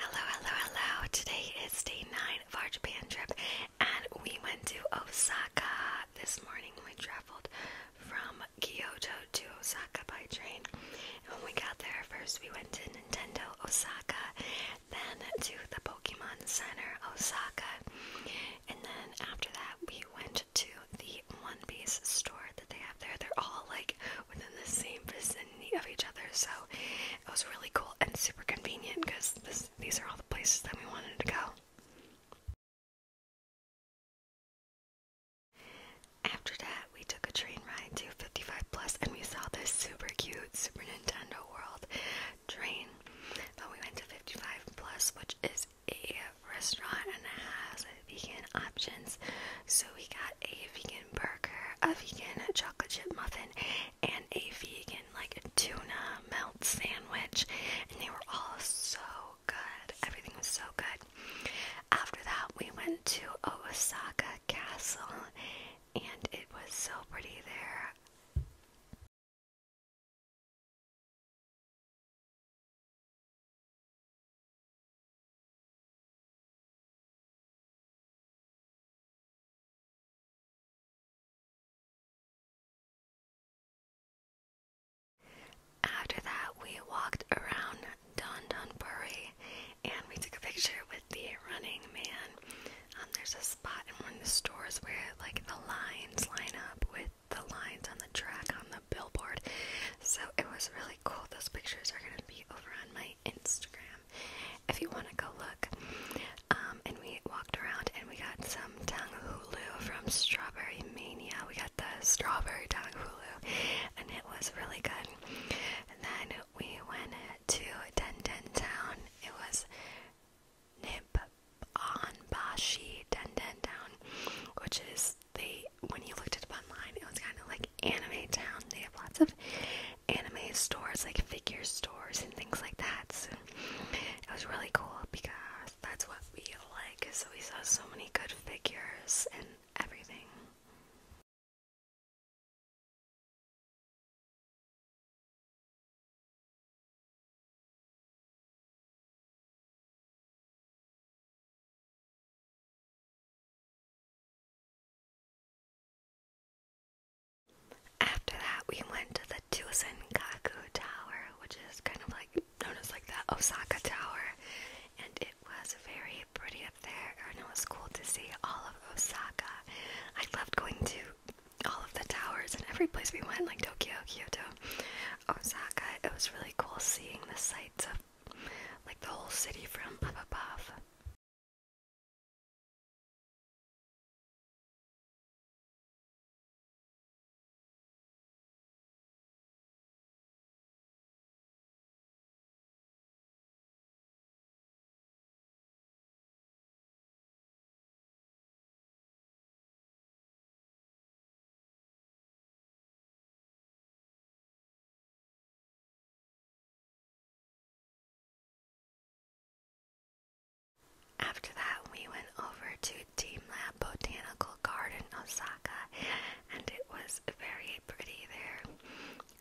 Hello, hello, hello. Today is day nine of our Japan trip, and we went to Osaka this morning. We traveled from Kyoto to Osaka by train. And when we got there, first we went to Nintendo Osaka, then to the Pokemon Center Osaka, and then after that, we went to the One Piece store that they have there. They're all like within the same vicinity of each other. So it was really cool and super convenient because these are all the places that we wanted to go. After that, we took a train ride to 55 Plus and we saw this super cute Super Nintendo World train. But we went to 55 Plus, which is a restaurant and it has vegan options. So we got a vegan burger, a vegan chocolate chip muffin, and a vegan like tuna melt sandwich. And they were all so good. Everything was so good. After that, we went to Osaka Castle, and it was so pretty there. After that, we walked around Dondonbury and we took a picture with the running man. Um, there's a spot in one of the stores where like the lines line up with the lines on the track on the billboard, so it was really cool. Those pictures are gonna be over on my Instagram if you wanna go look. Um, and we walked around and we got some Tang Hulu from Strawberry Mania. We got the strawberry Tang Hulu and it was really good. And then we went to Den Den Town. It was Nip on Bashi Den Den Town, which is they when you looked it up online, it was kind of like anime town. They have lots of anime stores, like figure stores and things like that. So it was really cool because that's what we like. So we saw so many good figures and everything. After that, we went to the Tsusengaku Tower, which is kind of like known as like the Osaka Tower, and it was very pretty up there, and it was cool to see all of Osaka. I loved going to all of the towers and every place we went, like Tokyo, Kyoto. Osaka. It was really cool seeing the sights of like the whole city from up above. After that, we went over to Team Botanical Garden, Osaka, and it was very pretty there.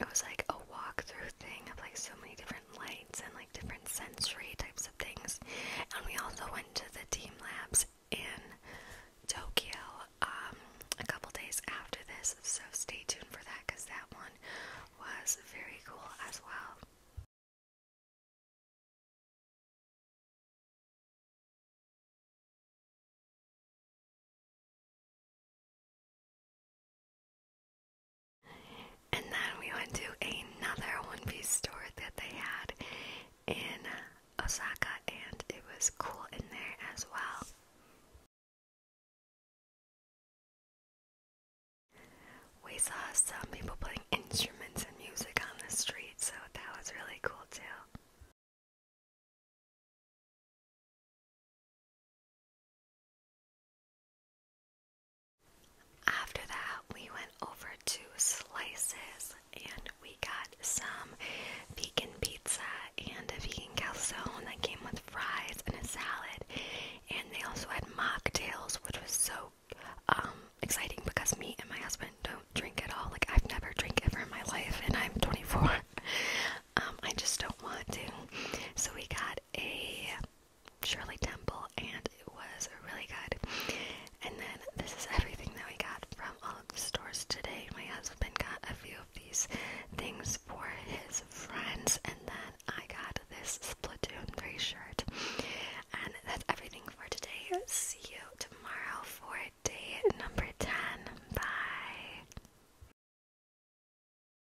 It was like a walk-through thing of like so many different lights and like different sensory types of things. And we also went to the team labs in Tokyo um, a couple days after this, so stay tuned for that because that one was very cool as well. And then we went to another One Piece store that they had in Osaka, and it was cool in there as well. We saw some people playing instruments and music on the street, so that was really cool too. After that, we went over to Slices and we got some vegan pizza and a vegan calzone that came with fries and a salad. And they also had mocktails, which was so um, exciting because me and my husband don't drink at all. Like, I've never drank ever in my life, and I'm 24. Um, I just don't want to. So, we got a Shirley Temple, and it was really good. And then this is everything that we got from all of the stores today. My husband got a few of these things for his friends, and then I got this Splatoon 3 shirt. And that's everything for today. See you tomorrow for day number 10. Bye.